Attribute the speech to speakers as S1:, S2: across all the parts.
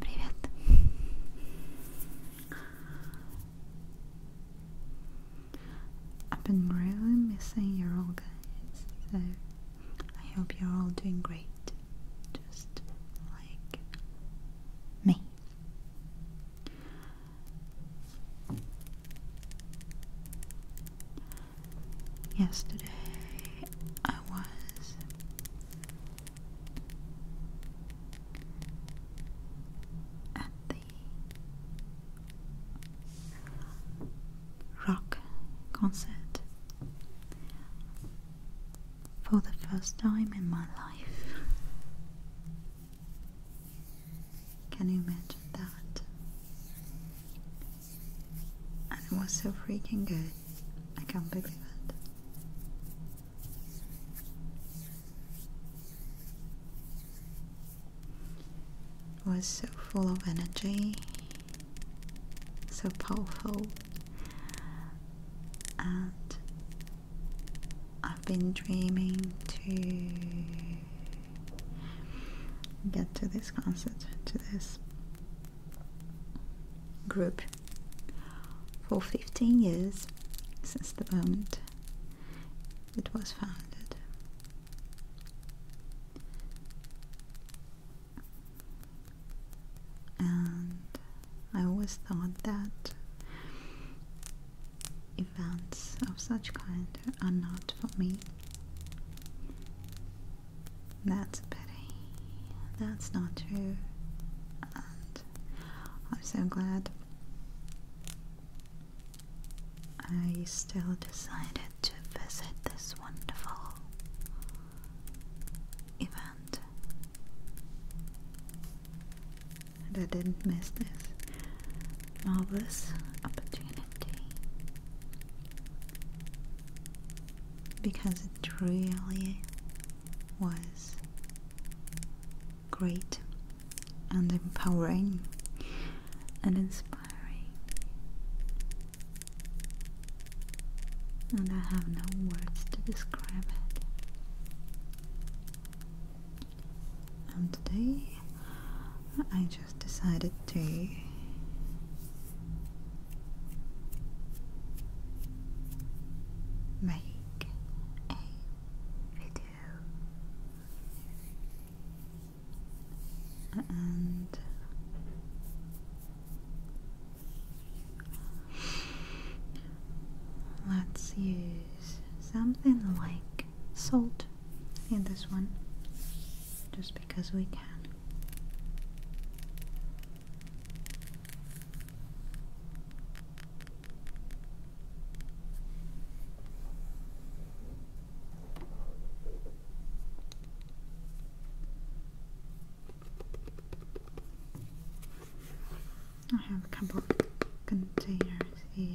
S1: Привет. I've been really missing you all guys, so I hope you're all doing great. Just like me. Yesterday, I was at the rock concert for the first time in my life. Can you imagine that? And it was so freaking good. I can't believe it. was so full of energy, so powerful, and I've been dreaming to get to this concert, to this group for 15 years since the moment it was founded. And I always thought that Events of such kind are not for me. That's a pity. That's not true. And I'm so glad I still decided to visit this wonderful event. And I didn't miss this marvelous opportunity because it really was great and empowering and inspiring and I have no words to describe it and today I just decided to make a video and let's use something like salt in this one just because we can. I have a couple of containers here.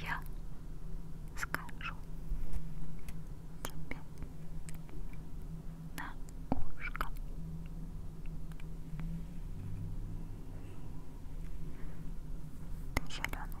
S1: Я скажу тебе на ушко. Ты зеленая лягушка.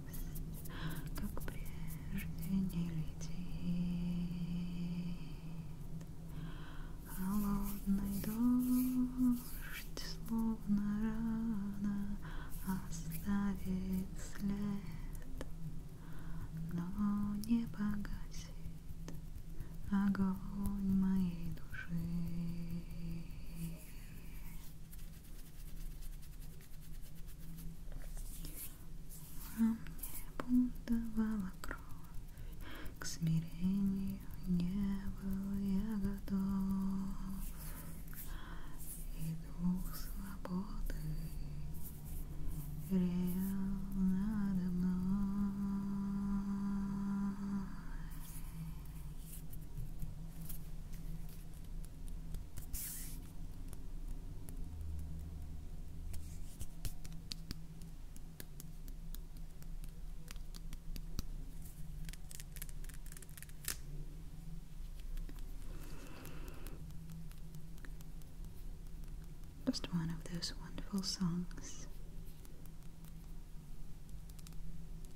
S1: как прежде не летит холодный дождь, словно рано оставит след, но не погасит огонь моей души. Во мне бунтовала кровь, к смирению не был я готов. И дух свободы реял надо мной. Just one of those wonderful songs.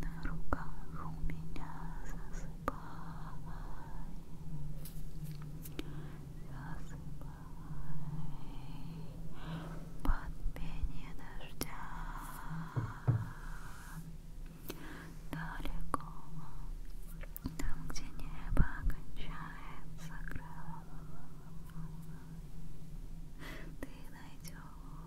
S1: на руках у меня засыпай, засыпай под пение дождя. Далеко, там, где небо кончается крылом, ты найдешь